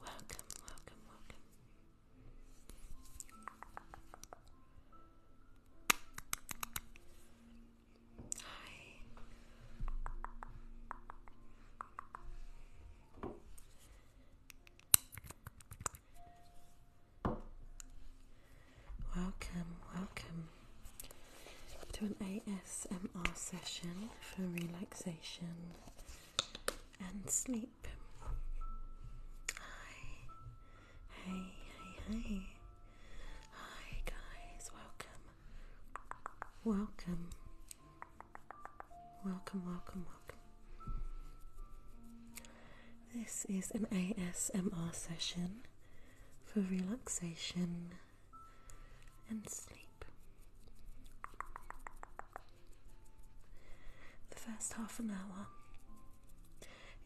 Welcome, welcome, welcome. Hi. Welcome, welcome to an ASMR session for relaxation and sleep. Hi, hey, hey, hey. Hi, guys, welcome. Welcome. Welcome, welcome, welcome. This is an ASMR session for relaxation and sleep. The first half an hour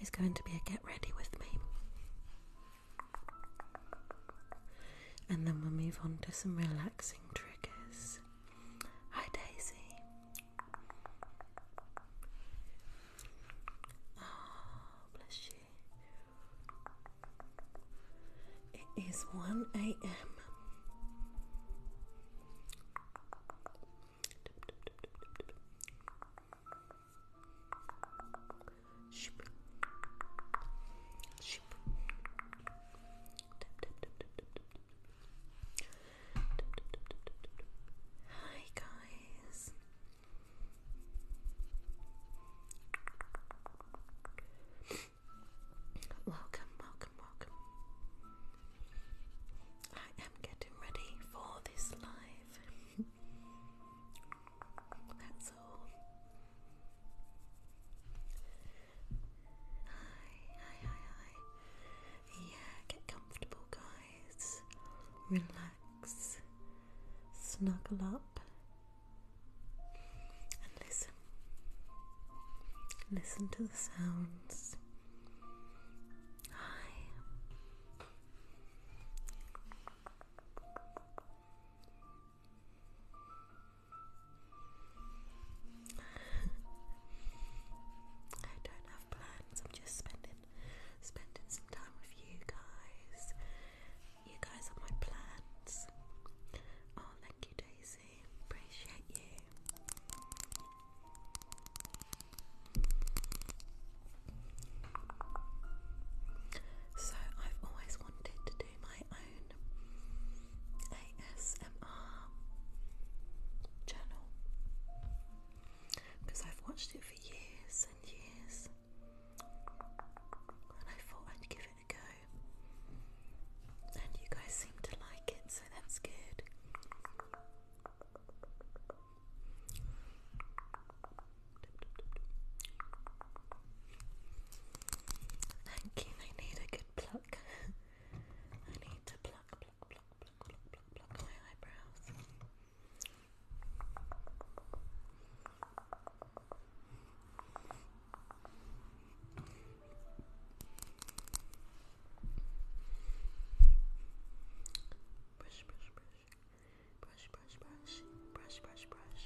is going to be a get ready with me. And then we'll move on to some relaxing triggers. Hi, Daisy. Oh, bless you. It is 1 a.m. Hi guys. Welcome, welcome, welcome. I am getting ready for this live. That's all. Hi, hi, hi, hi. Yeah, get comfortable, guys. Relax. Snuggle up. And listen. Listen to the sounds. Hi. I don't have plans. I'm just spending spending some time with you guys you guys are my plans. Oh, thank you, Daisy. Appreciate you. So, I've always wanted to do my own ASMR channel because I've watched it for years and years, and I thought I'd give it and you guys seem to like it, so that's good. Thank you, I need a good pluck. I need to pluck, pluck, pluck, pluck, pluck, pluck my eyebrows. Brush, brush, brush. Brush, brush, brush. Brush, brush, brush.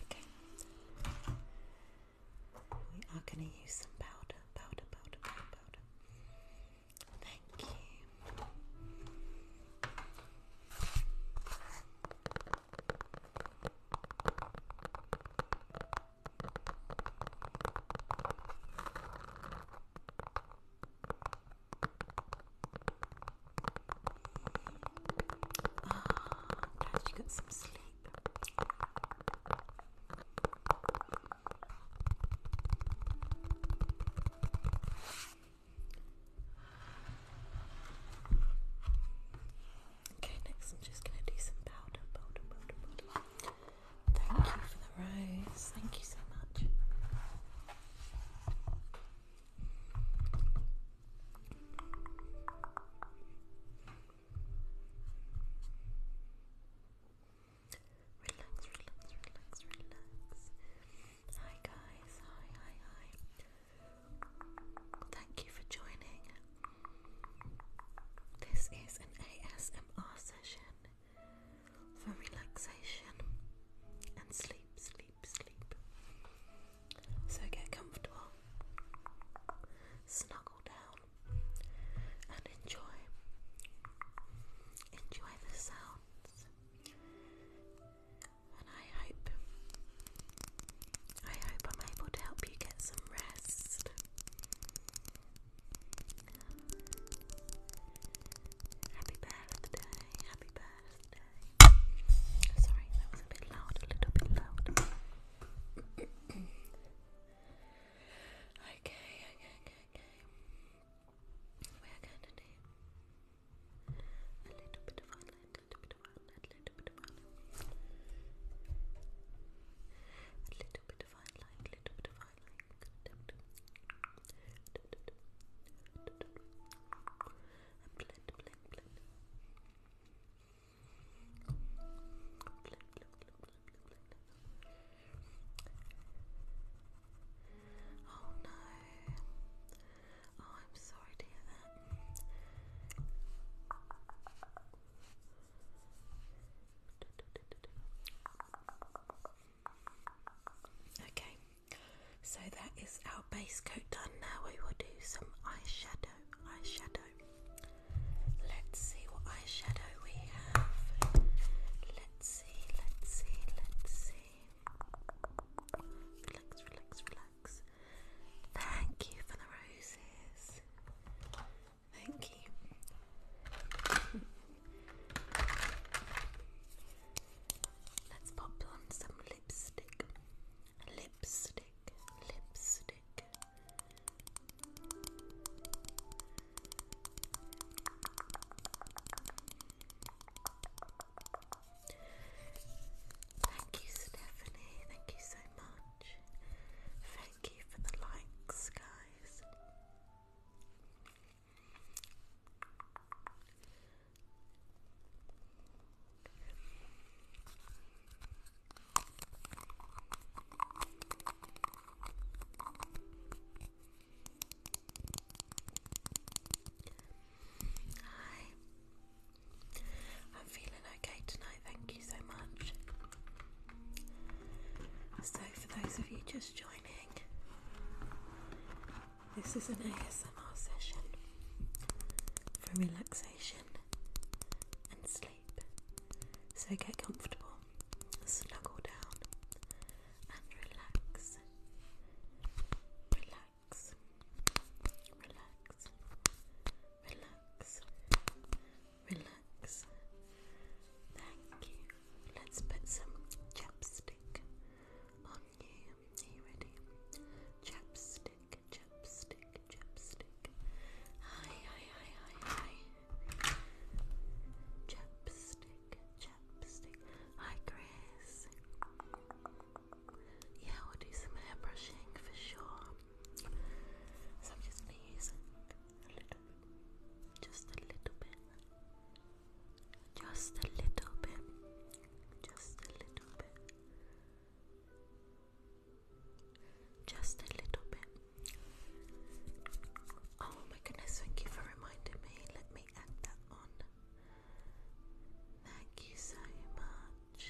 Okay. We are going to use some powder, powder, powder, powder, powder. Thank you. Ah, glad you got some sleep. Okay, next I'm just gonna do some powder, powder, powder, powder. Thank you for the rose. Thank you so much. Relax, relax, relax, relax. Hi guys, hi, hi, hi. Thank you for joining. This is an ASMR session for relaxation and sleep, sleep, sleep. So get comfortable, snuggle down, and enjoy. Enjoy the sounds I hope, I hope I'm able to help you get some rest. Happy birthday, happy birthday. Sorry, that was a bit loud, a little bit loud. okay, okay, okay. We're gonna name a little bit of island, little bit of island, little bit of island. A little bit of island, little bit of island. And blend, blend, blend. Blend, blend, blend, blend, blend, blend. Oh no. Oh, I'm sorry to hear that. Okay, so that is our base coat done. Now we will do some eyeshadow. Eyeshadow. Let's see what eyeshadow we have. Let's see, let's see, let's see. Relax, relax, relax. Thank you for the roses. Thank you. Let's pop on some lipstick. Lipstick, lipstick. Thank you, Stephanie. Thank you so much. Thank you for the likes, guys. Hi. I'm feeling okay tonight, thank you so much. So, for those of you just joining, this is an ASMR session for relaxation and sleep. So, get comfortable, snuggle down, and relax. Relax. Relax. Relax. Relax. Thank you. Let's put some chapstick on you. Are you ready? Chapstick, chapstick, chapstick. Hi, hi, hi, hi, hi. Chapstick, chapstick, Hi, Chris. Yeah, we'll do some hair brushing for sure. So i just a little bit, just a little bit, just a little bit, just a little bit. Oh my goodness, thank you for reminding me. Let me add that on. Thank you so much.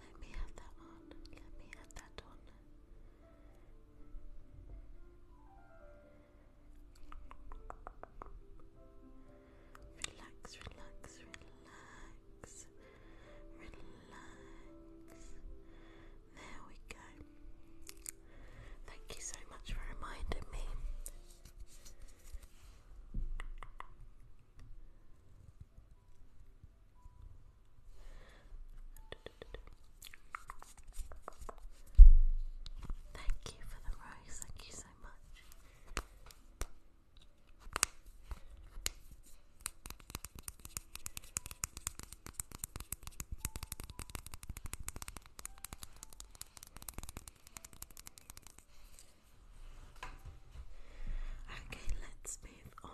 Let me have that one. Let me have that one. Relax, relax, relax. There we go. Thank you so much for reminding me. Thank you for the rose, thank you so much. Okay, let's move on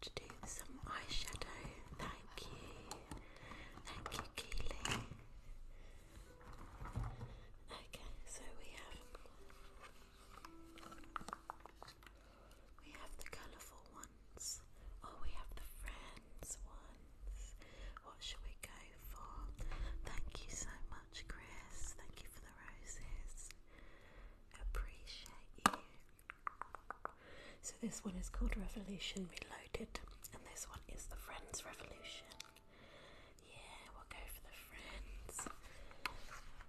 to do some eyeshadow. Thank you. Thank you, Keely. Okay, so we have we have the colourful ones, or oh, we have the friends ones. What should we go for? Thank you so much, Chris. Thank you for the roses. Appreciate you. So, this one is called Revolution Reloaded, and this one is the Friends Revolution. Yeah, we'll go for the friends.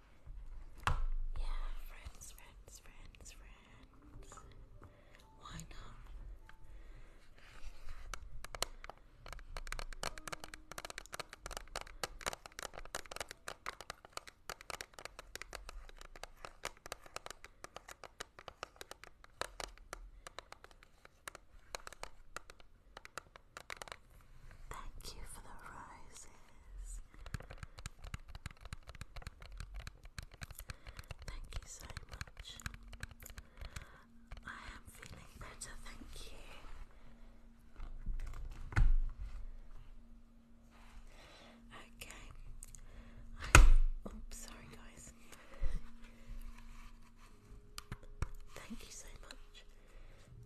Yeah, friends, friends, friends, friends. Why not? Thank you for the roses. Thank you so much. I am feeling better, thank you. Okay. oops, sorry guys. thank you so much.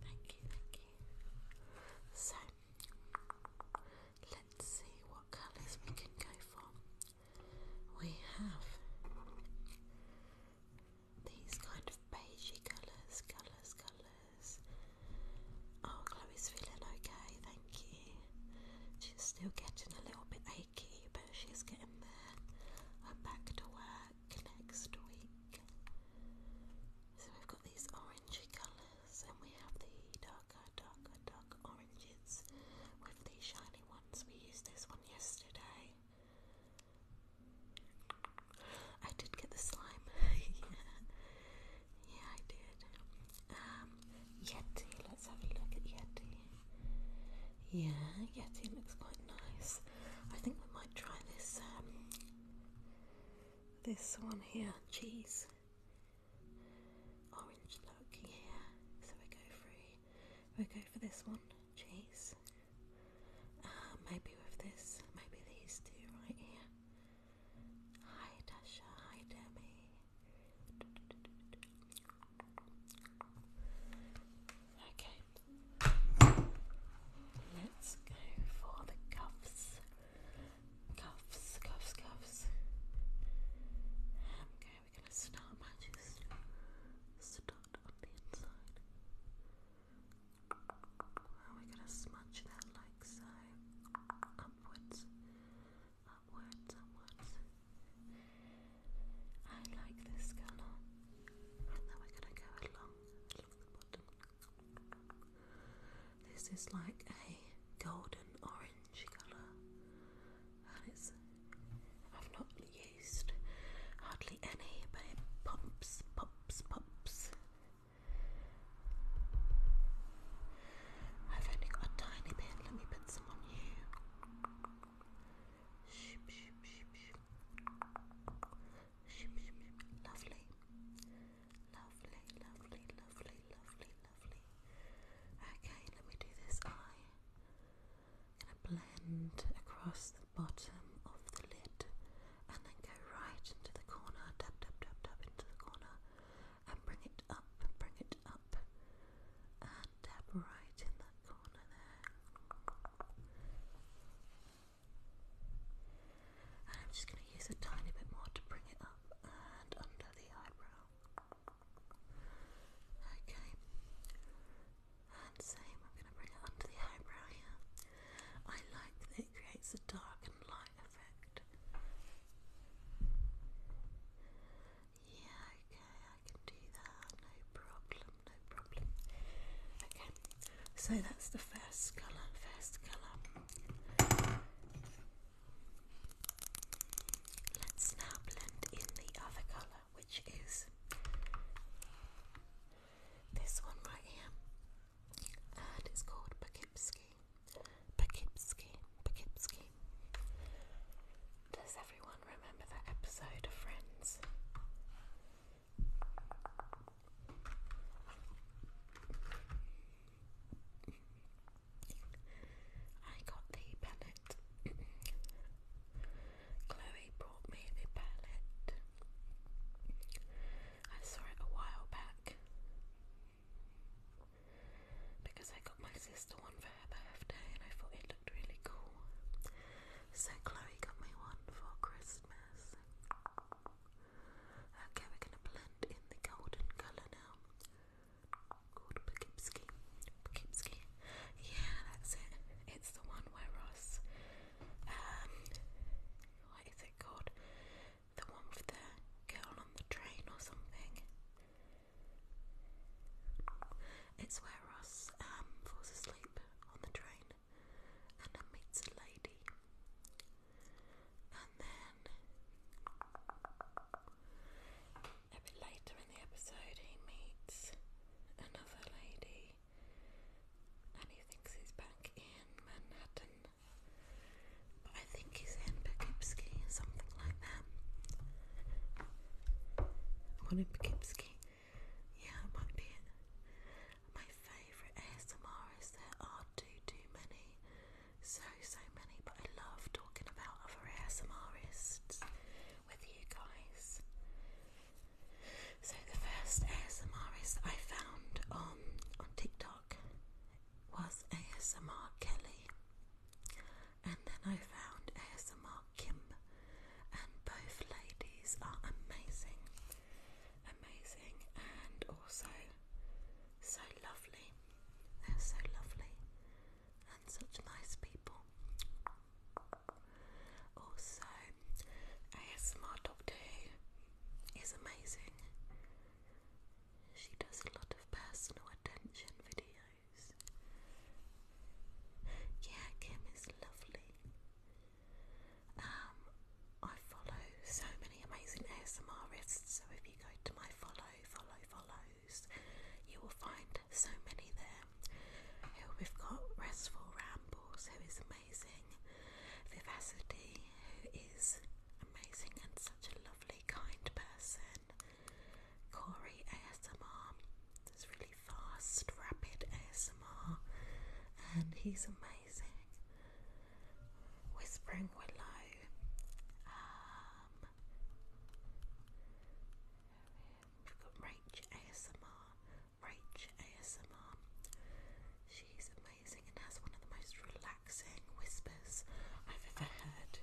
Thank you, thank you. So Let's see what colours we can go for. We have these kind of beigey colours, colours, colours. Oh, Chloe's feeling okay, thank you. She's still getting a little bit achy, but she's getting there. I'm back to work next week. So we've got these orangey colours and we have the darker, darker, dark oranges with the shiny ones. We used this one yesterday. I did get the slime. yeah. yeah, I did. Um, Yeti, let's have a look at Yeti. Yeah, Yeti looks quite nice. I think we might try this um, this one here, cheese, orange look here. So we go through, we go for this one, cheese. Uh, maybe with this, maybe these two right here. Hi Dasha, hi Demi. Okay, let's go for the cuffs cuffs, cuffs, cuffs. Okay, we're gonna start by just start on the inside. And we're gonna smudge that like so. Upwards, upwards, upwards. I like this colour. And then we're gonna go along, along the bottom. This is like a golden orange colour, and it's I've not used hardly any, but it pops, pops, pops. I've only got a tiny bit. Let me put some on you. Lovely. Lovely, lovely, lovely, lovely, lovely. Okay, let me do this eye. going to blend across the bottom of the lid and then go right into the corner, tap, tap, tap, tap into the corner and bring it up, bring it up and tap right in that corner there. I'm just going to use a tiny bit more to bring it up and under the eyebrow. Okay. And same, I'm going to bring it under the eyebrow here. I like that it creates a dark and light effect. Yeah, okay, I can do that, no problem, no problem. Okay, so that's the first colour, first colour. Let's now blend in the other colour, which is this one right here, it's called Poughkeepsie. Poughkeepsie, Poughkeepsie. Does everyone remember that episode of Friends? I got the palette. Chloe brought me the palette. I saw it a while back because I got my sister one for her birthday and I thought it looked really cool. So Chloe got me one for Christmas. Okay, we're going to blend in the golden colour now. Called Poughkeepsie. Poughkeepsie. Yeah, that's it. It's the one where Ross, um, what is it called? The one with the girl on the train or something. It's where Ross um, falls asleep on the train and meets a lady. And then a bit later in the episode, he meets another lady and he thinks he's back in Manhattan. But I think he's in Poughkeepsie or something like that. One in Poughkeepsie. Yeah, might be it. My favourite ASMR there are too too many so, so many, but I love talking about other ASMRists with you guys. So the first ASMRist I found on um, on TikTok was ASMR Kelly, and then I found ASMR Kim, and both ladies are amazing, amazing, and also so lovely. They're so lovely and such nice people. Also, ASMR Doctor Who is amazing. She does a lot of personal attention videos. Yeah, Kim is lovely. Um, I follow so many amazing ASMRists, so if you go to my follow, follow, follows, you will find so many there. Here we've got Restful Rambles, who is amazing, Vivacity, who is amazing and such a lovely, kind person, Corey ASMR, that's really fast, rapid ASMR, and he's amazing. Whispering Willow. we've got um, Rach ASMR. Rach ASMR. She's amazing and has one of the most relaxing whispers I've ever heard.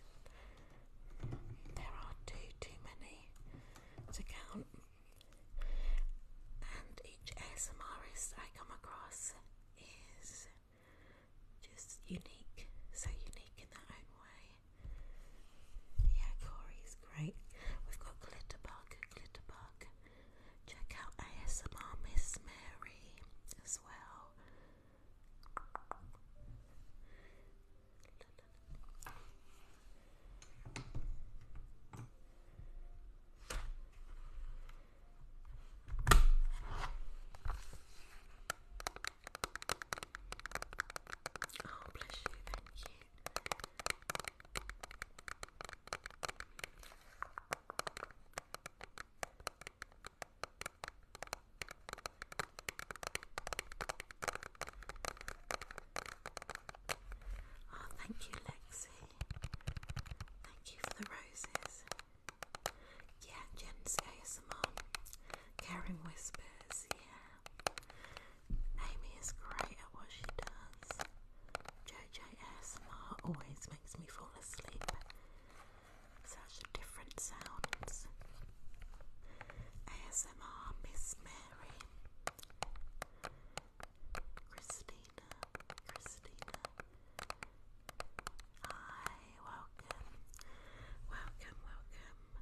There are too too many to count. And each ASMRist I come across is just unique, so unique in their own way. Yeah, Corey's great. We've got Glitterbug, Glitterbug. Check out ASMR Miss Mary as well. Oh, bless you, thank you. Oh, thank you, Lexi. Thank you for the roses. Yeah, Jen's ASMR. Karen whispers, Amy is great at what she does. JJ ASMR always makes me fall asleep. Such different sounds. ASMR Miss Mary. Christina, Christina, Hi, welcome, welcome, welcome. Relax.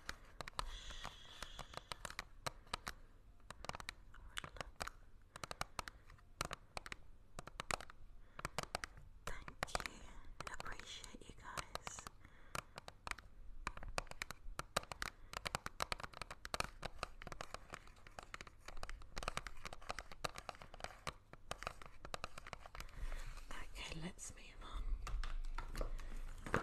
Relax, relax, relax. Relax, relax, Thank you. Appreciate you guys. Okay, let's move on.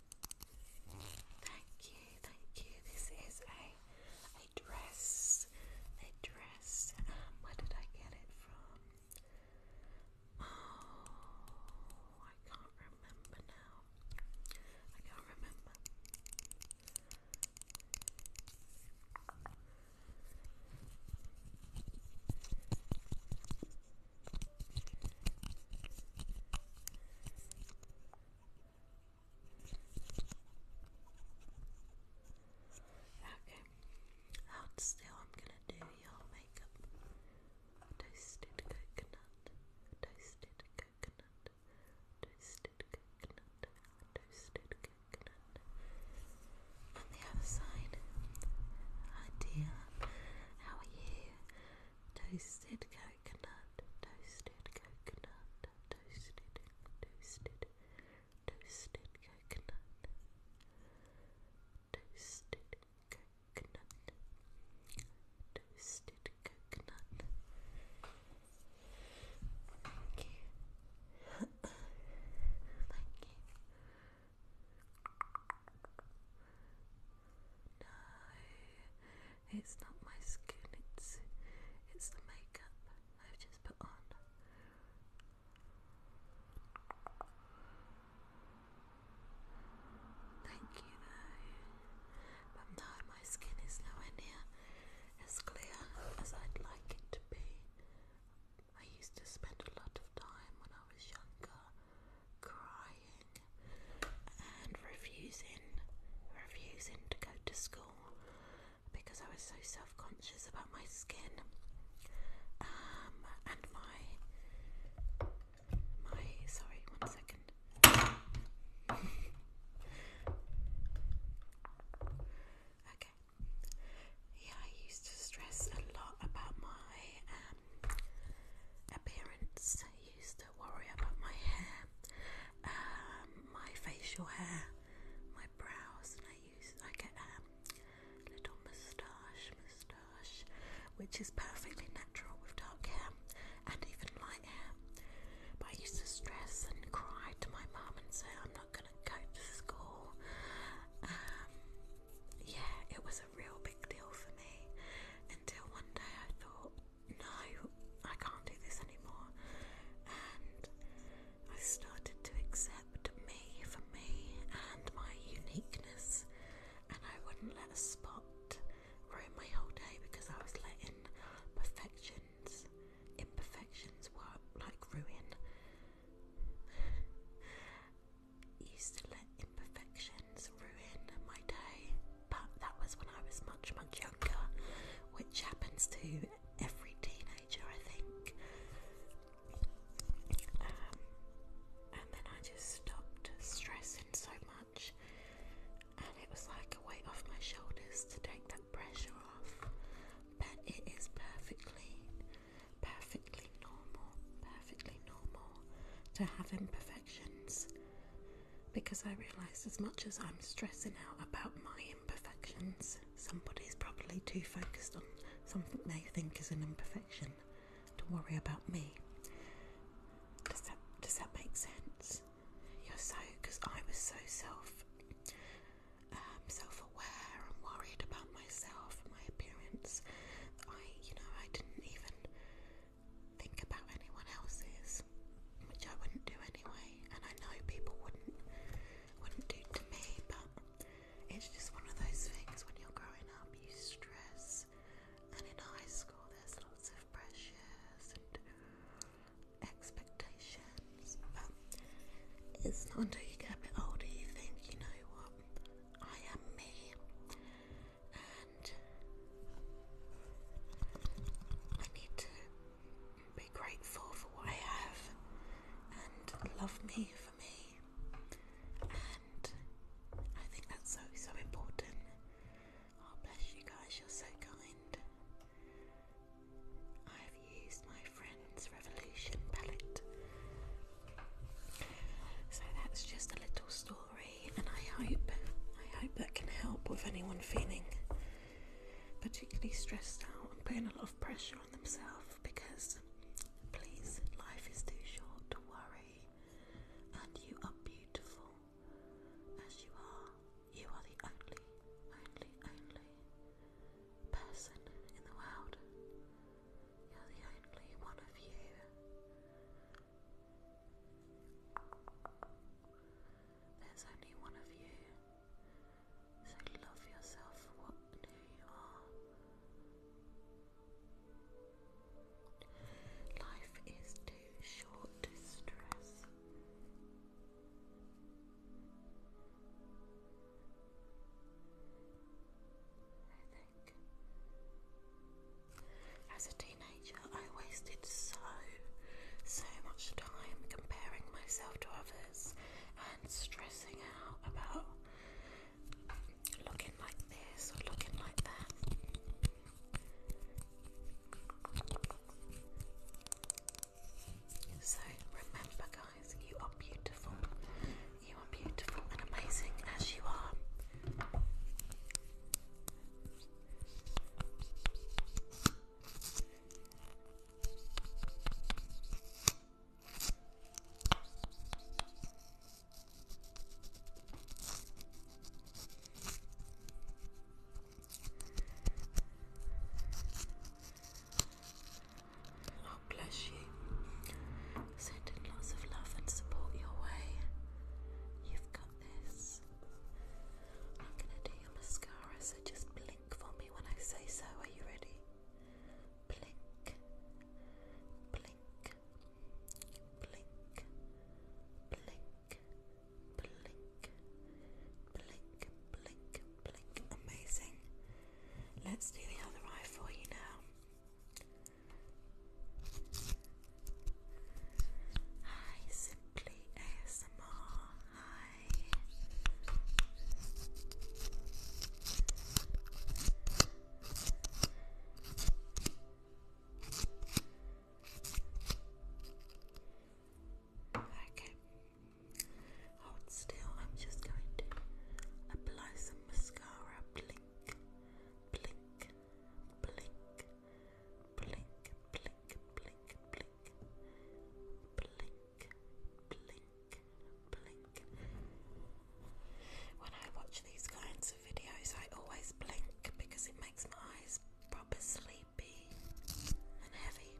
Thank you, thank you. This is a a dress. A dress. where did I get it from? Oh I can't remember now. I can't remember. Okay. Out still, I'm gonna do your makeup. Toasted coconut, toasted coconut, toasted coconut, toasted coconut. On the other side. Hi dear, how are you? toasted coconut, toasted coconut, toasted, toasted, toasted coconut, toasted coconut, toasted coconut. Thank you. Thank you. No, it's not my skin, it's it's the makeup I've just put on. Thank you though. But no, my skin is nowhere near as clear as I'd like it to be. I used to spend a lot of time when I was younger crying and refusing, refusing to go to school because I was so self-conscious about my skin um, and my my sorry one second okay yeah I used to stress a lot about my um, appearance I used to worry about my hair, um, my facial hair, my brows, and I used I get a little moustache, moustache, which is perfectly natural with dark hair and even light hair. But I used to stress and cry to my mom and say I'm not gonna go to school. Um, yeah, it was a real big deal for me until one day I thought, no, I can't do this anymore. And I started to accept me for me and my uniqueness, and I wouldn't let a spot ruin my whole day because I was letting perfections, imperfections, were like ruin. used to let imperfections ruin my day, but that was when I was much, much younger, which happens to every teenager, I think. Um, and then I just stopped stressing so much, and it was like a weight off my shoulders to take that pressure off. But it is perfectly, perfectly normal, perfectly normal to have imperfections because I realised as much as I'm stressing out about my imperfections, somebody's probably too focused on something they think is an imperfection to worry about me. Does that does that make sense? You're so because I was so self um, self aware and worried about myself and my appearance. I you know I didn't even think about anyone else's, which I wouldn't do anyway, and I know people wouldn't wouldn't do to me, but it's just one of those things when you're growing up you stress and in high school there's lots of pressures and expectations but it's not until you get a bit older you think you know what I am me and I need to be grateful for what I have and love me for me. And I think that's so, so important. Oh, bless you guys, you're so kind. I've used my friend's Revolution palette. So that's just a little story, and I hope, I hope that can help with anyone feeling particularly stressed out and putting a lot of pressure on themselves because, please, life is too short to worry, and you are beautiful as you are. You are the only, only, only person in the world. You're the only one of you. There's only one of you. So love yourself for what who you are. Life is too short to stress. I think. As a teenager, I wasted so, so much time comparing myself to others and stressing out about looking like this or looking like that. So remember, guys, you are beautiful. You are beautiful and amazing as you are. God bless you. Sending lots of love and support your way. You've got this. I'm gonna do your mascaras so just blink for me when I say so. Are you ready? Blink, blink, blink, blink, blink, blink, blink, blink. Amazing. Let's do the other eye for you now. Hi, simply ASMR. Okay. Hold still. I'm just going to apply some mascara. Blink, blink, blink, blink, blink blink, blink, blink, blink, blink, When I watch these kinds of videos, I always blink because it makes my eyes proper sleepy and heavy.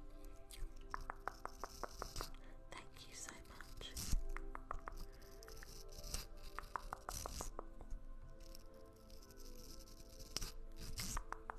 Thank you so much.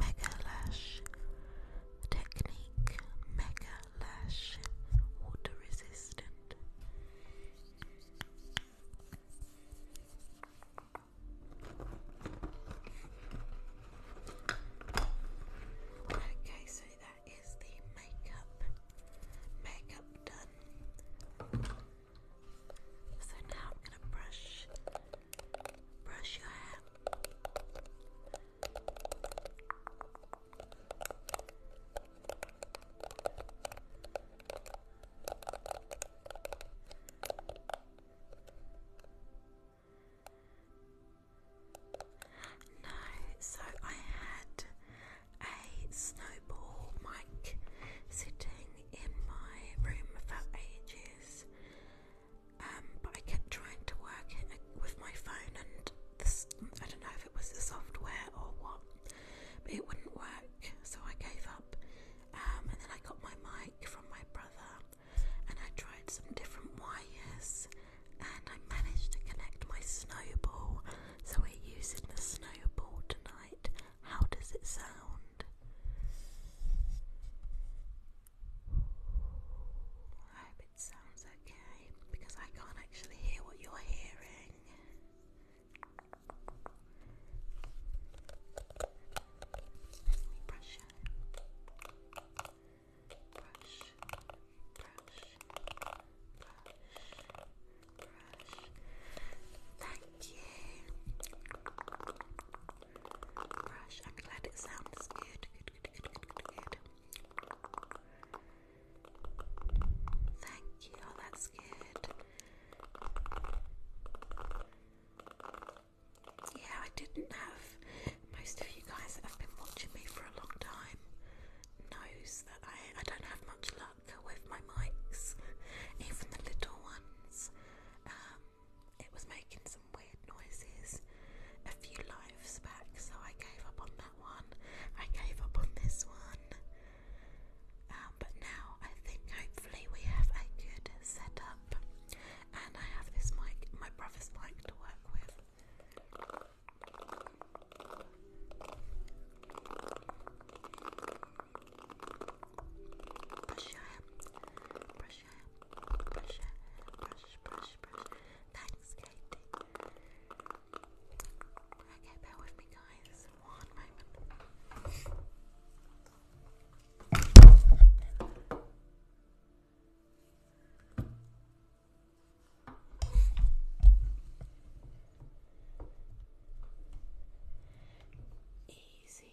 Mega Lash Technique Mega Lash Water Resistant. Okay, so that is the makeup makeup done. So now I'm gonna brush brush your hair. No, so I had a snowball mic sitting in my room for ages um, but I kept trying to work it uh, with my phone and I don't know if it was the software or what, but it wouldn't work, so I gave up. Um, and then I got my mic from my brother and I tried some different wires and I managed to connect my snowball, so we're using the snowball tonight. How does it sound? I hope it sounds okay because I can't actually hear what you're hearing. brush Brush, brush, brush, brush. Thank you. Brush. I'm glad it sounds good. Good, good, good, good, good. Thank you, oh, that's good. Yeah, I didn't have most of you guys that have been watching me for a long time knows that I, don't have much luck with my mics, even the little ones. Um, it was making weird noises a few lives back, so I gave up on that one. I gave up on this one. Um, but now I think hopefully we have a good setup, and I have this mic, my brother's mic, to work with. Brush your brush your brush your hair, brush, brush, brush. Thanks, Katie. Okay, with me, guys. One moment. Easy.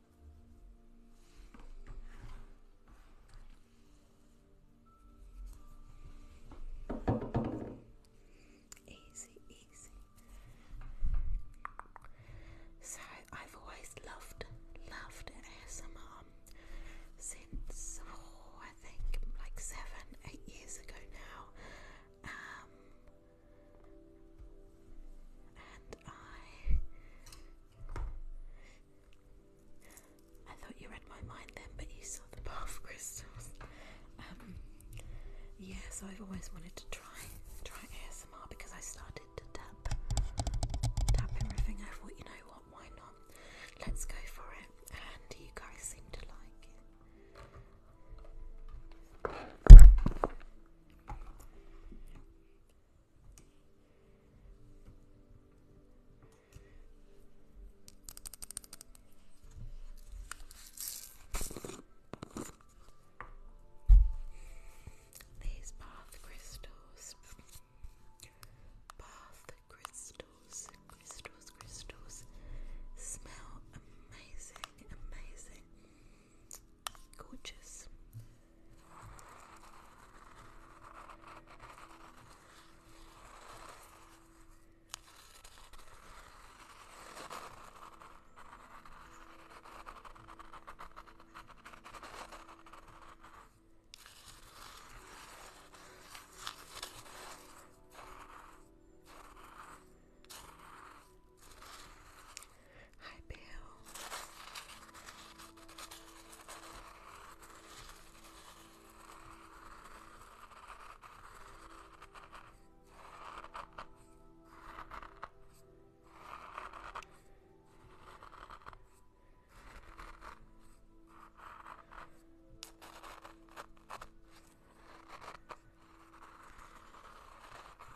Easy, easy. So I've always loved, loved ASMR since oh, I think like seven, eight years ago now. Um, and I. I thought you read my mind then, but you saw the bath crystals. Um, yeah, I've always wanted to try try ASMR because I started to tap tap everything. I thought, you know what, why not? Let's go for it. And you guys seem to like it. These bath crystals, bath crystals, crystals, crystals smell amazing, amazing. Gorgeous. Hi, Bill.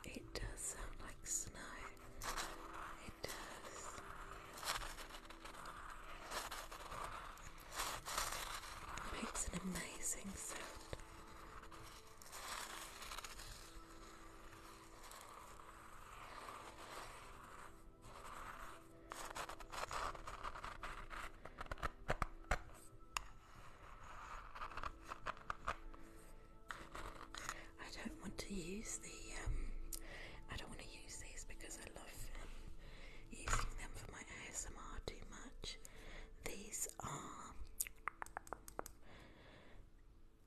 It does sound like snow. It does. Makes an amazing sound. I don't want to use the um, I don't want to use these because I love um, using them for my ASMR too much. These are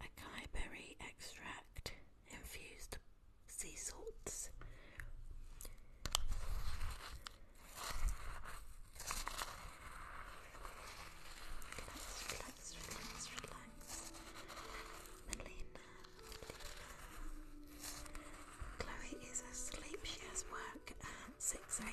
acai berry extract infused sea salts. Melina, Chloe is asleep. She has work at 6 a.m.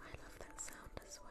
I love that sound as well.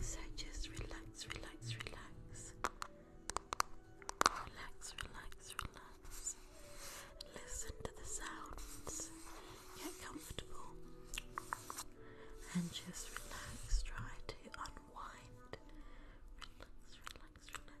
So just relax, relax, relax. Relax, relax, relax. Listen to the sounds. Get comfortable. And just relax. Try to unwind. Relax, relax, relax.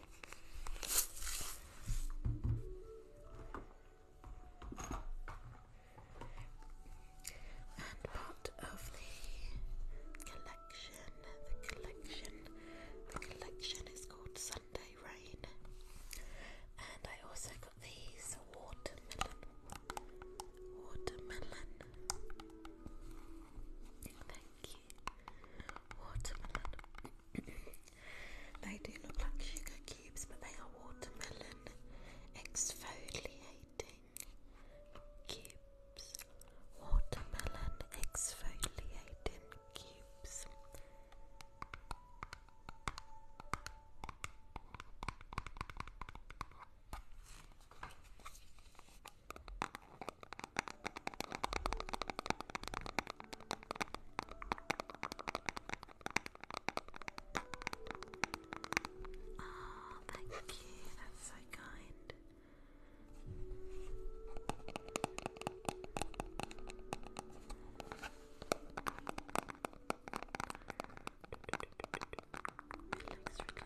And part of the collection, the collection, the collection is called Sunday Rain. And I also got these watermelon, watermelon. Thank you, watermelon. They do look like sugar cubes, but they are watermelon exfoliating cubes. Watermelon exfoliating cubes. Oh, thank you. That's so kind. Relax, relax, relax, relax.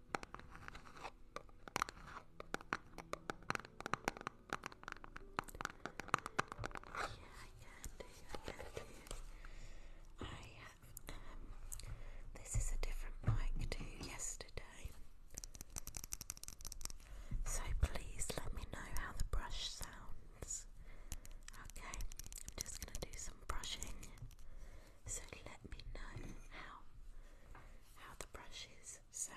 I can do. I have. Um, this is a different mic to yesterday. So please let me know how the brush sounds. Okay, I'm just gonna do some brushing. So let me know how how the brushes sound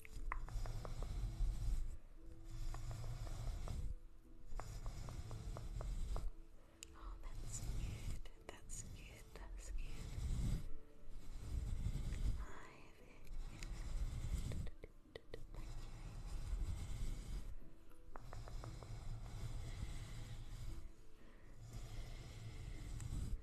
Oh, that's good. That's good. That's good. Hi, Thank you.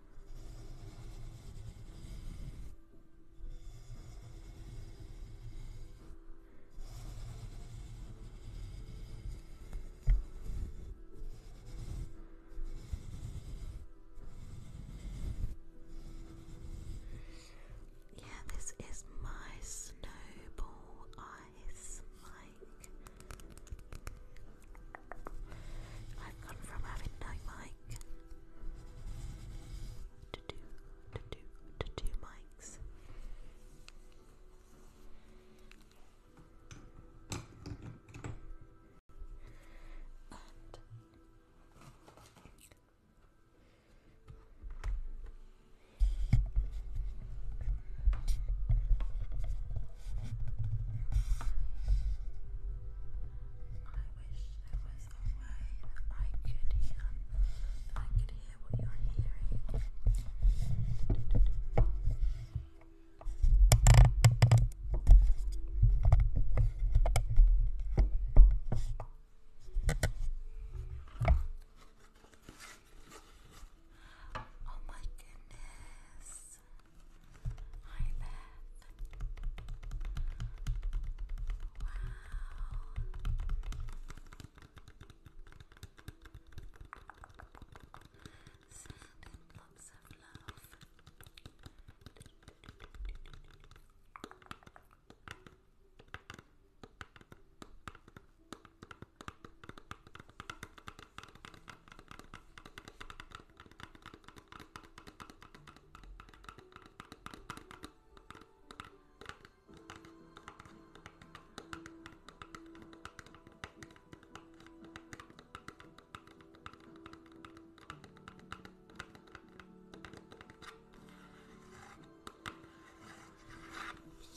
Yeah, this is my snowball ice mic. I've gone from having no mic to do to do to do mics. I wish there was a way I could hear, I could hear what you're hearing. Oh my goodness. Hi, Beth. Wow. Sand and blobs of love. Hi,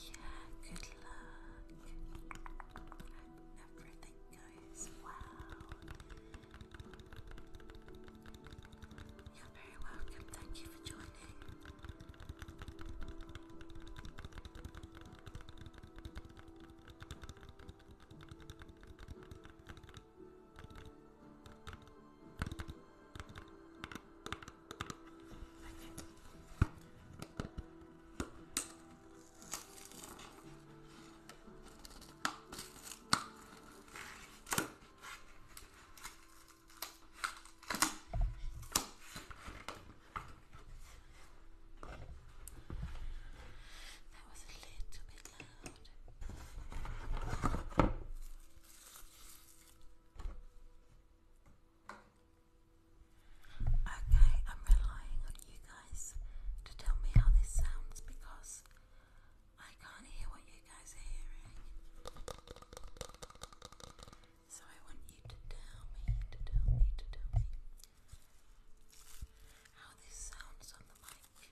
yeah, good luck. Everything goes well. You're very welcome. Thank you for joining. That was a little bit loud. Okay, I'm relying on you to tell me how this sounds because I can't hear what you guys are hearing. So I want you to tell me, to tell me, to tell me how this sounds on the mic.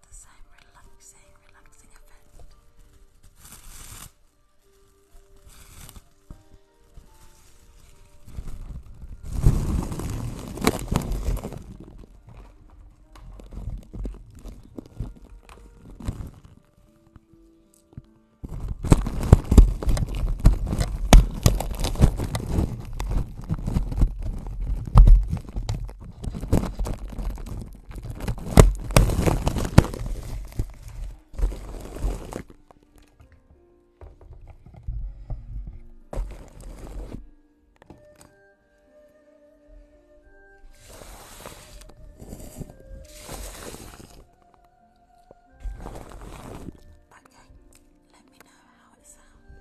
have the same relaxing, relaxing effect. Okay, let me know how it sounds.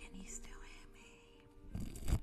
Can you still hear me?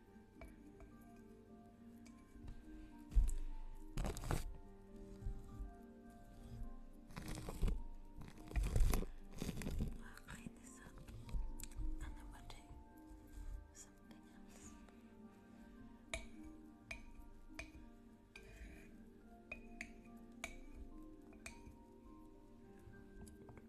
I'll clean this up and then we do something else.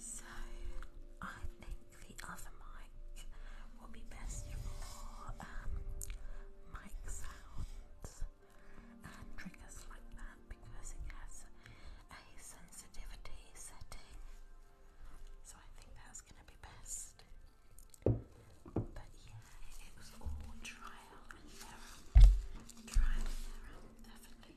So I think the other mic will be best for um, mic sounds and triggers like that because it has a sensitivity setting. So I think that's going to be best. But yeah, it was all trial and error. Trial and error, definitely.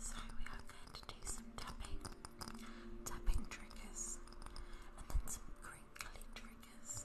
So we are going to do some tapping, tapping triggers, and then some crinkly triggers.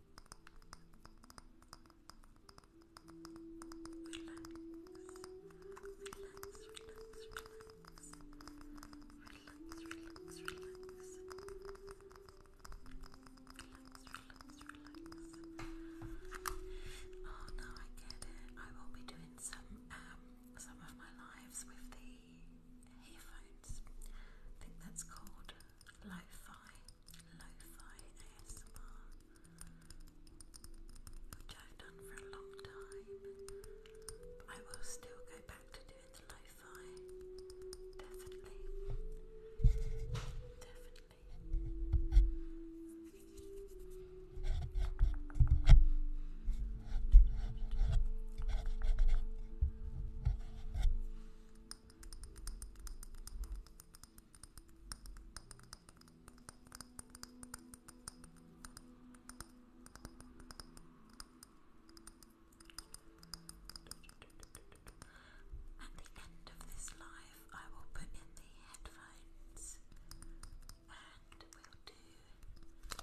relax. Oh no, I get it. I will be doing some um some of my lives with the earphones. I think that's called lo-fi lo-fi ASMR, which I've done for a long time. But I will still go back to doing lo-fi, definitely, definitely. At the end of this live, I will put in the headphones and we'll do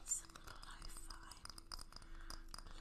some lo fi,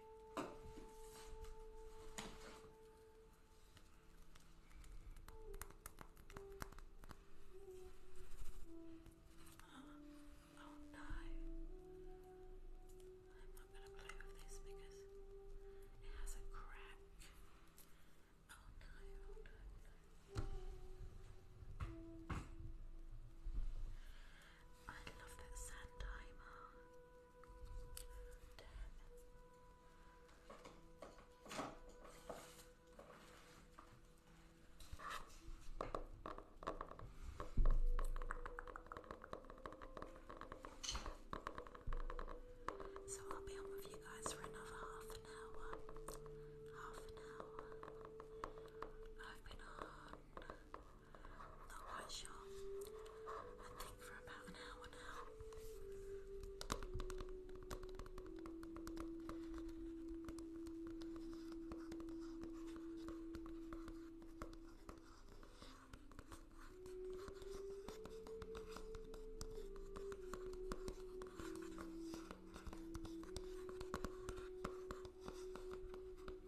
Oh no. I'm not going to play with this because it has a crack. Oh no, oh, I love that sand timer. So I'll be on with you guys for another half an hour. Half an hour. Not quite sure. I think for about an hour now.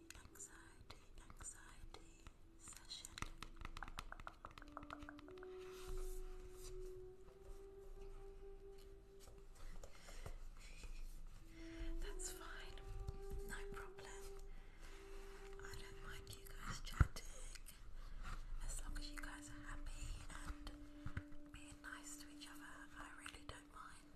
anxiety, anxiety session. That's fine, no problem. I don't mind you guys chatting as long as you guys are happy and being nice to each other. I really don't mind.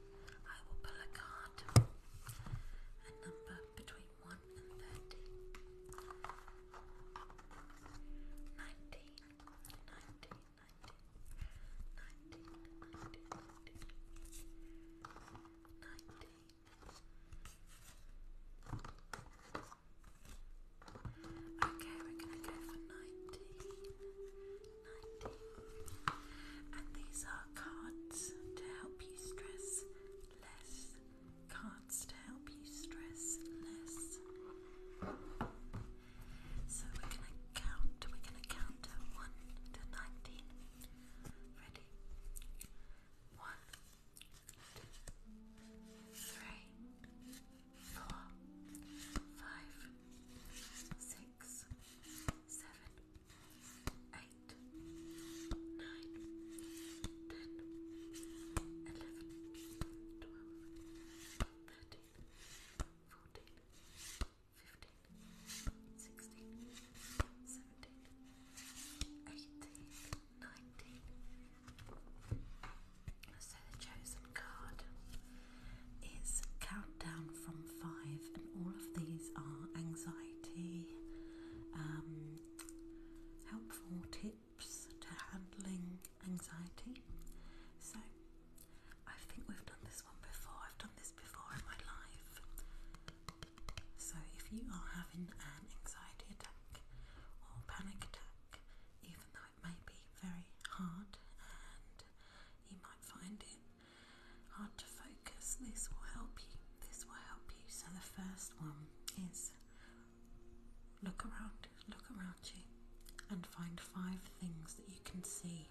I will pull a card, a number between 1 and 30. 19, Okay, we're going to go for 19. And these are cards to help you stress less. Cards to help you stress less. So we're gonna count. We're gonna count one to nineteen. Ready? One, two, three, four, five, six, seven eight, nine, ten, eleven, twelve, thirteen, fourteen, fifteen, sixteen, seventeen, eighteen, nineteen. So the chosen card is Countdown from Five, and all of these are anxiety. Um, helpful tips to handling anxiety. So, I think we've done this one before, I've done this before in my life. So, if you are having an anxiety attack or panic attack, even though it may be very hard and you might find it hard to focus. This will help you. This will help you. So the first one is look around, look around you, and find five things that you can see.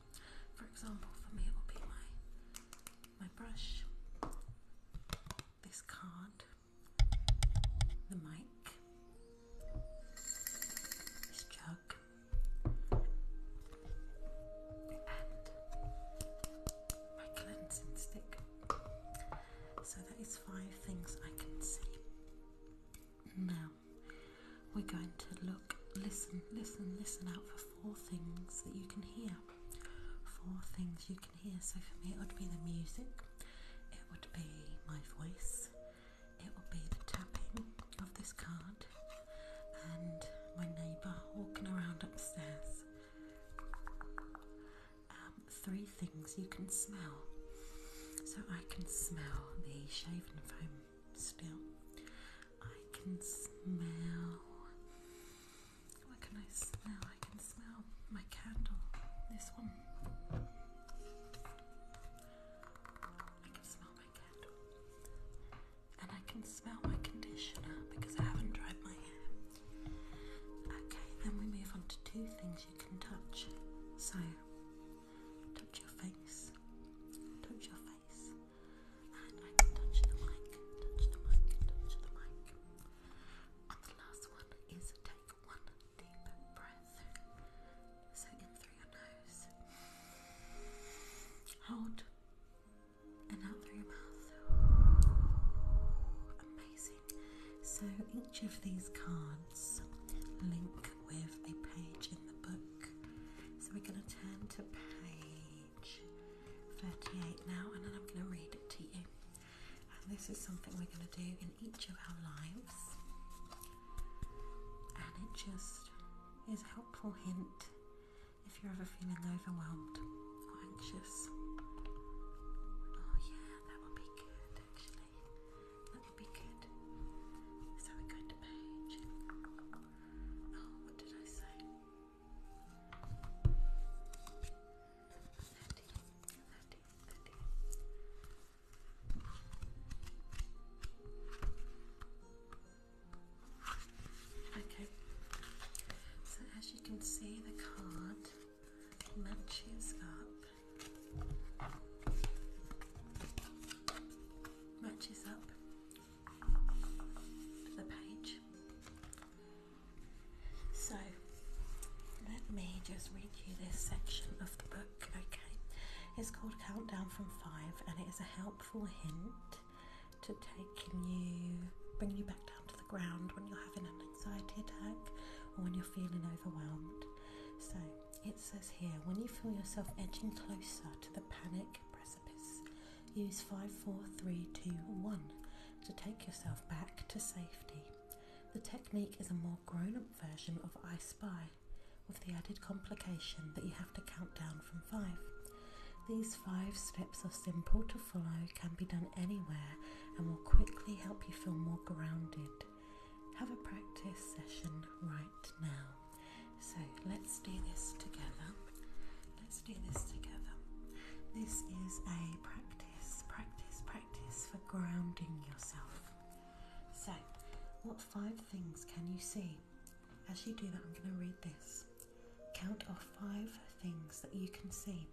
For example, for me it will be my my brush, this card, the mic, this jug, my cleansing stick. So that is five things I can see. Now we're going to look, listen, listen, listen out for four things that you can hear. Four things you can hear. So for me, it would be the music, it would be my voice, it would be the tapping of this card, and my neighbour walking around upstairs. Um, three things you can smell. So I can smell the shaven foam still. I can smell. What can I smell? I can smell my candle. This one. I can smell my candle and I can smell my conditioner because I haven't dried my hair. Okay, then we move on to two things you can touch. So, touch your face, touch your face, and I can touch the mic, touch the mic, touch the mic. And the last one is take one deep breath. So, in through your nose, hold. Amazing. So each of these cards link with a page in the book. So we're going to turn to page 38 now, and then I'm going to read it to you. And this is something we're going to do in each of our lives, and it just is a helpful hint if you're ever feeling overwhelmed or anxious. Oh, yeah, that would be good actually. That would be good. So we go to page. Oh, what did I say? Okay, you can see, the card matches up. Matches up the page. So let me just read you this section of the book, okay? It's called Countdown from Five and it is a helpful hint to take you, bringing you back down to the ground when you're having an anxiety attack or when you're feeling overwhelmed. So it says here when you feel yourself edging closer to the panic precipice, use 5, 4, 3, 2, 1 to take yourself back to safety. The technique is a more grown up version of I Spy, with the added complication that you have to count down from 5. These five steps are simple to follow, can be done anywhere, and will quickly help you feel more grounded. Have a practice session right now. So let's do this together. Let's do this together. This is a practice, practice, practice for grounding yourself. So, what five things can you see? As you do that, I'm going to read this. Count off five things that you can see.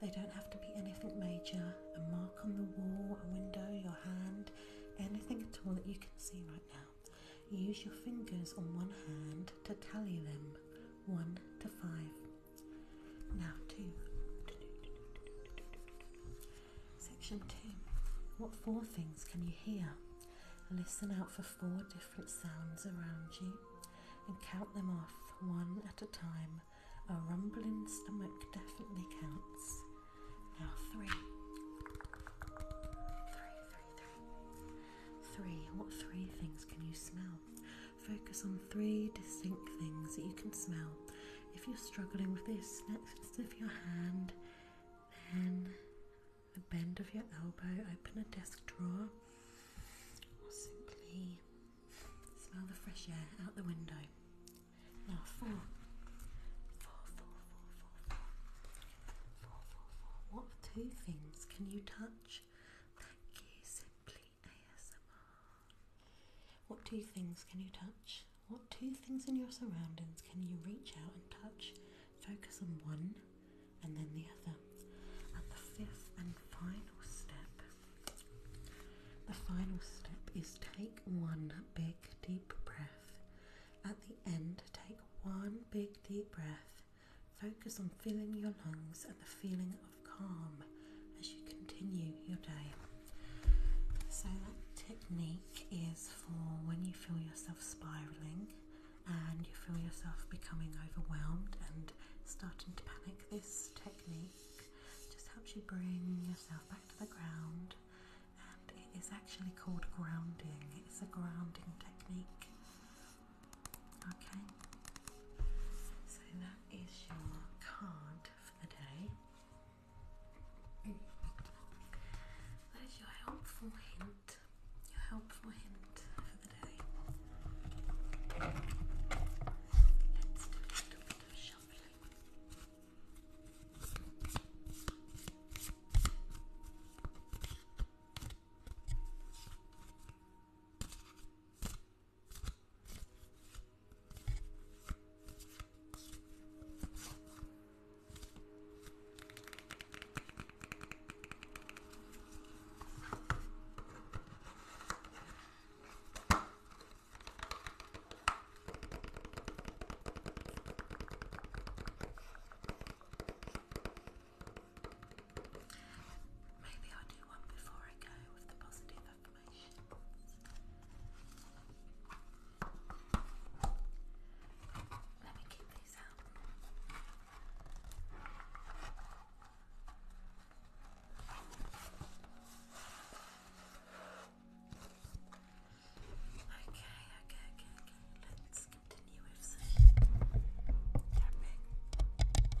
They don't have to be anything major, a mark on the wall, a window, your hand, anything at all that you can see right now. Use your fingers on one hand to tally them, one to five. Now, two. Section two. What four things can you hear? Listen out for four different sounds around you and count them off one at a time. A rumbling stomach definitely counts. Now three. What three things can you smell? Focus on three distinct things that you can smell. If you're struggling with this, next lift your hand, then the bend of your elbow, open a desk drawer, simply smell the fresh air out the window. Now, four. Four, four, What two things can you touch? Thank Simply ASMR. What two things can you touch? What two things in your surroundings can you reach out and touch? Focus on one and then the other. At the fifth and final step, the final step is take one big deep breath. At the end, take one big deep breath. Focus on filling your lungs and the feeling of calm as you continue your day. So, that technique is for when you feel yourself spiraling and you feel yourself becoming overwhelmed and starting to panic this technique just helps you bring yourself back to the ground, and it is actually called grounding. It's a grounding technique. Okay, so that is your card for the day. That is your helpful hint. Your helpful hint for the day. Let's do a little bit of shuffling. Let's Maybe i do one before I go with the positive affirmations. Let me keep these out. Okay, okay, okay, okay. Let's continue with some tapping. Tapping triggers. Okay,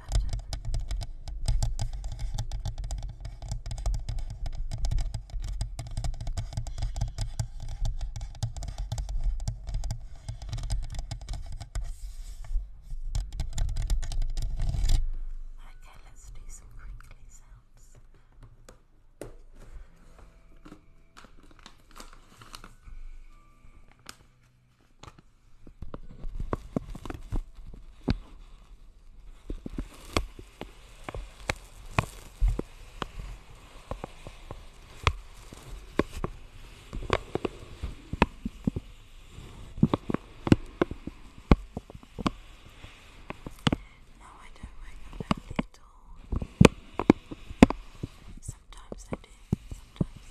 button. Okay, let's do some crinkly sounds. No, I don't wake up early at all. Sometimes I do, sometimes.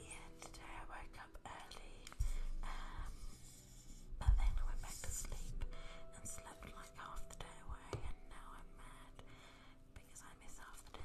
Yeah, today I woke up early, um, but then I went back to sleep and slept like half the day away, and now I'm mad because I miss half the day.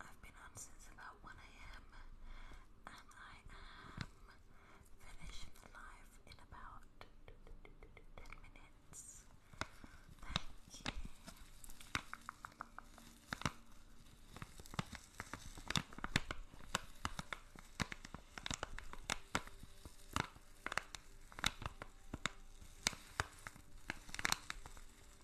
I've been on since about 1am and I am finishing the live in about 10 minutes. Thank you.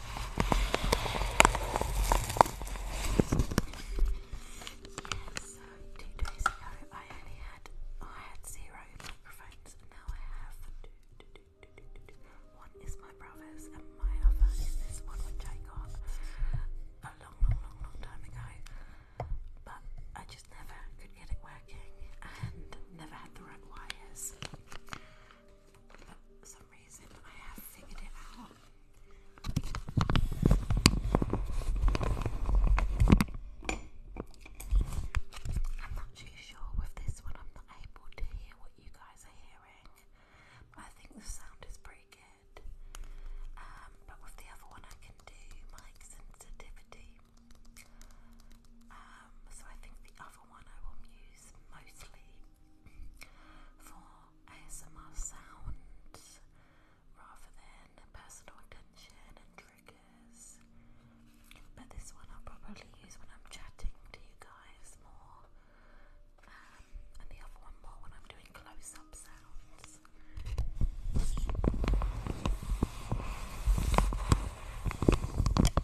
so two days ago I only had I had zero microphones and now I have one is my brother's and my other is this one which I got a long long long long time ago but I just never could get it working and never had the right wires. For some reason, I have figured it out. I'm not too sure with this one, I'm not able to hear what you guys are hearing, I think the sound is pretty good. Um, but with the other one, I can do mic sensitivity. Um, so I think the other one I will use mostly for ASMR sounds rather than personal attention and triggers. But this one I'll probably use when I'm chatting to you guys more, um, and the other one more when I'm doing close up sounds.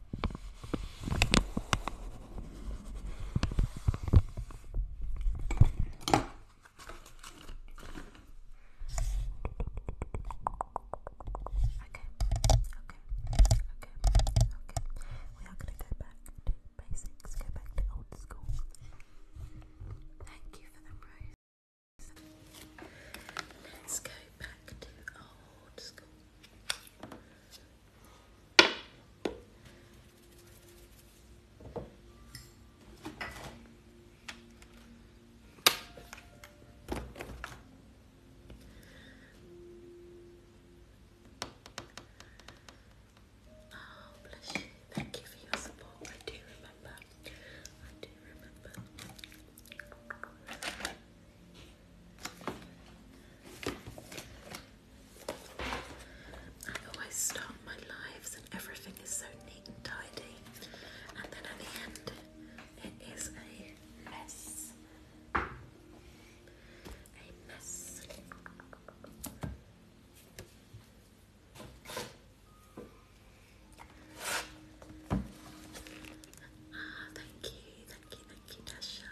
We are going to go back to basics, go back to old school. Thank you for the rose. Let's go back to old school. Oh, bless you. Thank you for your support. I do remember. I do remember. I always start my lives and everything is so neat and tidy, and then at the end, it is a mess. A mess. Ah, thank you, thank you, thank you, Dasha.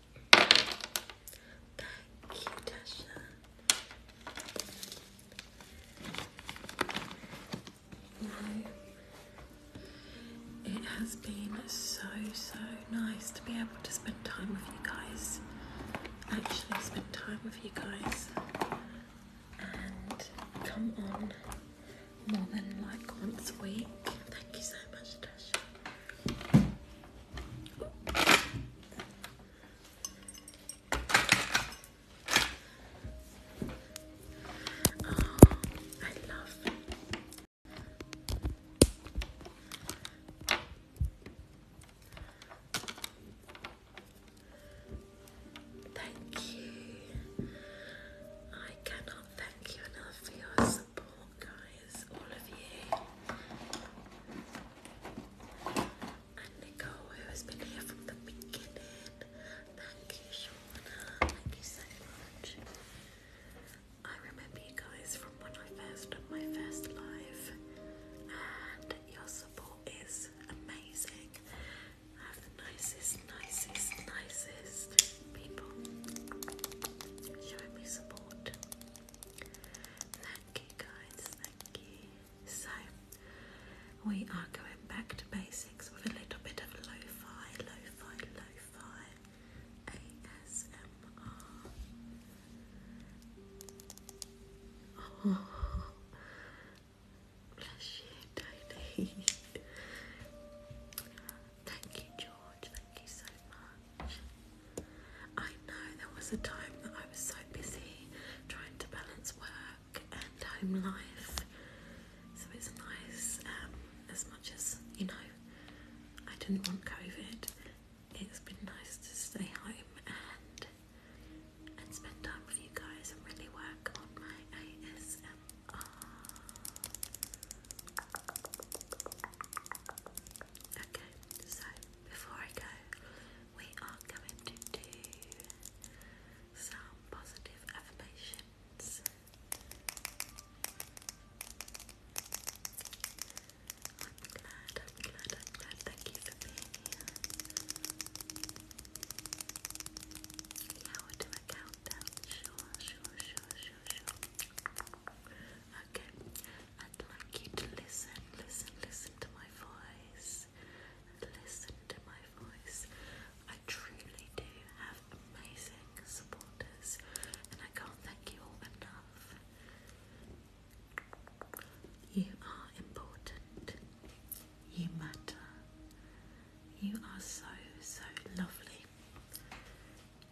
Thank you, Tasha. It has been so, so nice to be able to spend time with you guys. Actually, spend time with you guys and come on more than like once a week. Thank you so much, Tasha. I love Thank you. I cannot thank you enough for your support, guys all of you. And Nicole, who has been here from the beginning. Thank you, Shauna. Thank you so much. I remember you guys from when I first did my first live, and your support is amazing. I have the nicest, nicest, nicest people showing me support. Thank you guys, thank you. So we are going back to basics with a little bit of lo-fi, lo ASMR. bless you, Tony. Thank you, George. Thank you so much. I know there was a time that I was so busy trying to balance work and home life, so it's nice um, as much as you know, I didn't want COVID. It's been nice to stay home and and spend time with you guys and really work on my ASMR. Okay, so before I go, we are coming to do some positive affirmations. Thank you for being here. Yeah, we'll do a countdown. Sure, sure, sure, sure, sure. Okay, I'd like you to listen, listen, listen to my voice. Listen to my voice. I truly do have amazing supporters, and I can't thank you all enough. You are important. You matter. You are so, so lovely.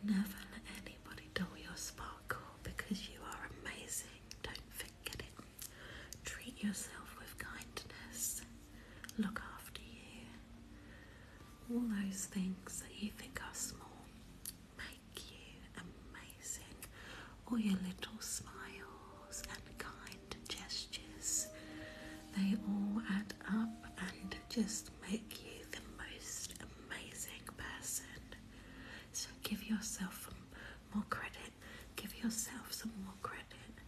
Never let anybody dull your sparkle because you are amazing. Don't forget it. Treat yourself with kindness. Look after you. All those things that you think are small make you amazing. All your little smiles and kind gestures, they all add up and just make you the most amazing person. So give yourself more credit. Give yourself some more credit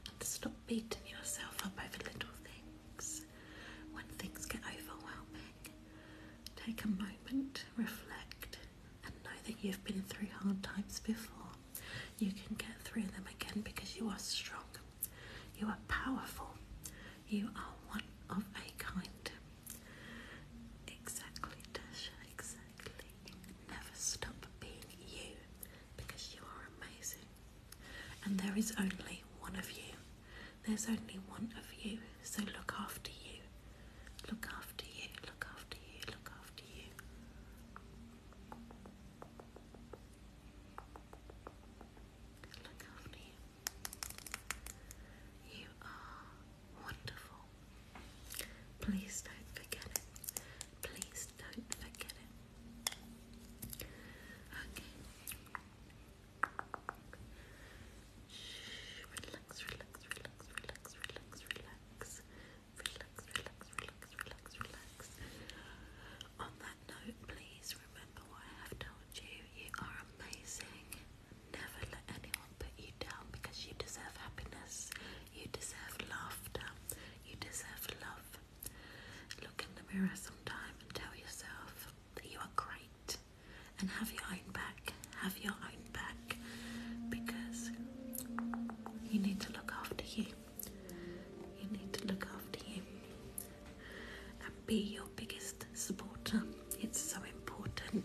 and stop beating yourself up over little things. When things get overwhelming, take a moment, reflect, and know that you've been through hard times before. You can get through them again because you are strong, you are powerful, you are one of a kind. Exactly, Dasha, exactly. Never stop being you because you are amazing. And there is only one of you. There's only one of you, so look after you. Look after you, look after you, look after you. Look after you. You are wonderful. Please don't forget it. Please don't forget it. Okay. relax, relax, relax, relax, relax, relax. Relax, relax, relax, relax, relax. On that note, please remember what I have told you. You are amazing. Never let anyone put you down because you deserve happiness, you deserve laughter, you deserve love. Look in the mirror sometimes and tell yourself that you are great and have your own back, have your own back because you need to look after you. You need to look after you and be your biggest supporter. It's so important.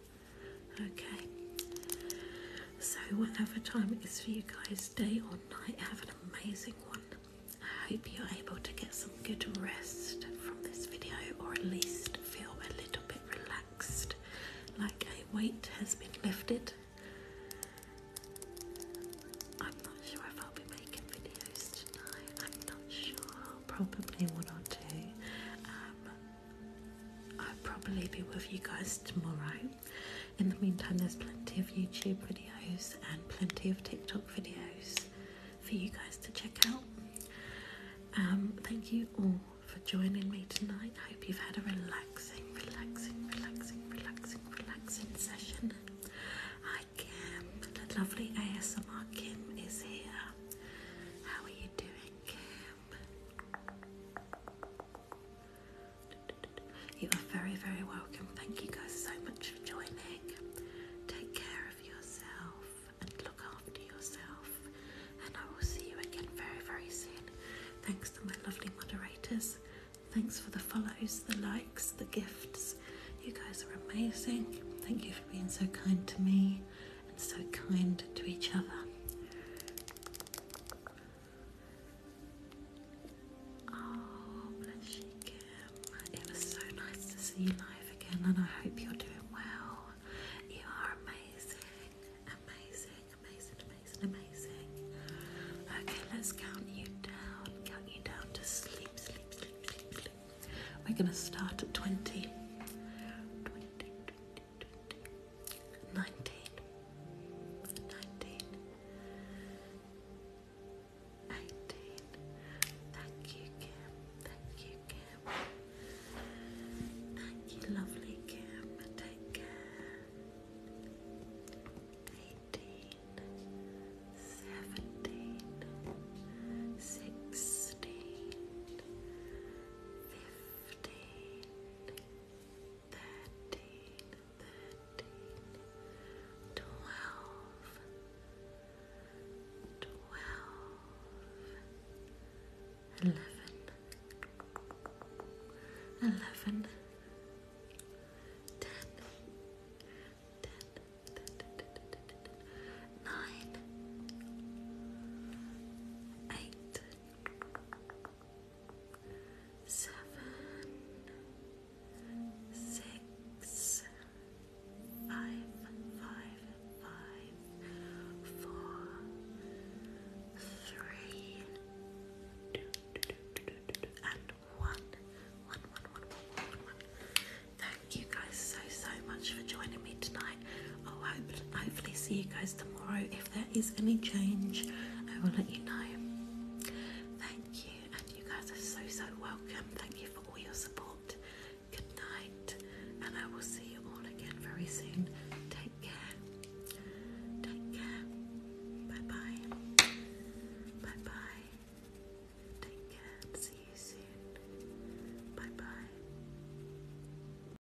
Okay. So whatever time it is for you guys, day or night, have an amazing one. I hope you're able to get some good rest from this video or at least feel a little bit relaxed, like a weight has been lifted. I'm not sure if I'll be making videos tonight. I'm not sure. Probably one or two. Um, I'll probably be with you guys tomorrow. In the meantime, there's plenty of YouTube videos and plenty of TikTok videos for you guys to check out. Um, thank you all for joining me tonight. I hope you've had a relaxing, relaxing, relaxing, relaxing, relaxing session. Hi, Kim. The lovely ASMR Kim is here. How are you doing, Kim? You are very, very welcome. Thank you guys so much for joining. Take care of yourself and look after yourself. And I will see you again very, very soon. Thanks to my lovely moderators. Thanks for the follows, the likes, the gifts. You guys are amazing. Thank you for being so kind to me and so kind to each other. Oh, bless you, Kim. It was so nice to see you live again, and I hope you're doing well. You are amazing, amazing, amazing, amazing, amazing. Okay, let's count you down, count you down to sleep, sleep, sleep, sleep, sleep. We're gonna start at 20. 20, 20, nineteen, nineteen, eighteen. Thank you, Kim. Thank you, Kim. Thank you, lovely Kim. Take care. Eighteen, seventeen, sixteen, fifteen. 15, 14, 13, 12, 11, 10, 9, 8, 7, 6, 5, 4, 3, 2, 1 fifteen, thirteen, thirteen, twelve, twelve, eleven, eleven, ten, ten, ten, ten, ten, ten, ten, ten nine, eight seven, six, five, five, five, four, three, two, two, two, two, two, two, and one. Thank you guys so, so much for joining me tonight. Oh, I'll hopefully see you guys tomorrow. If there is any change, I will let you know. Thank you, and you guys are so so welcome. Thank you for all your support. Good night, and I will see you all again very soon. Take care. Take care. Bye bye. Bye bye. Take care. See you soon. Bye bye.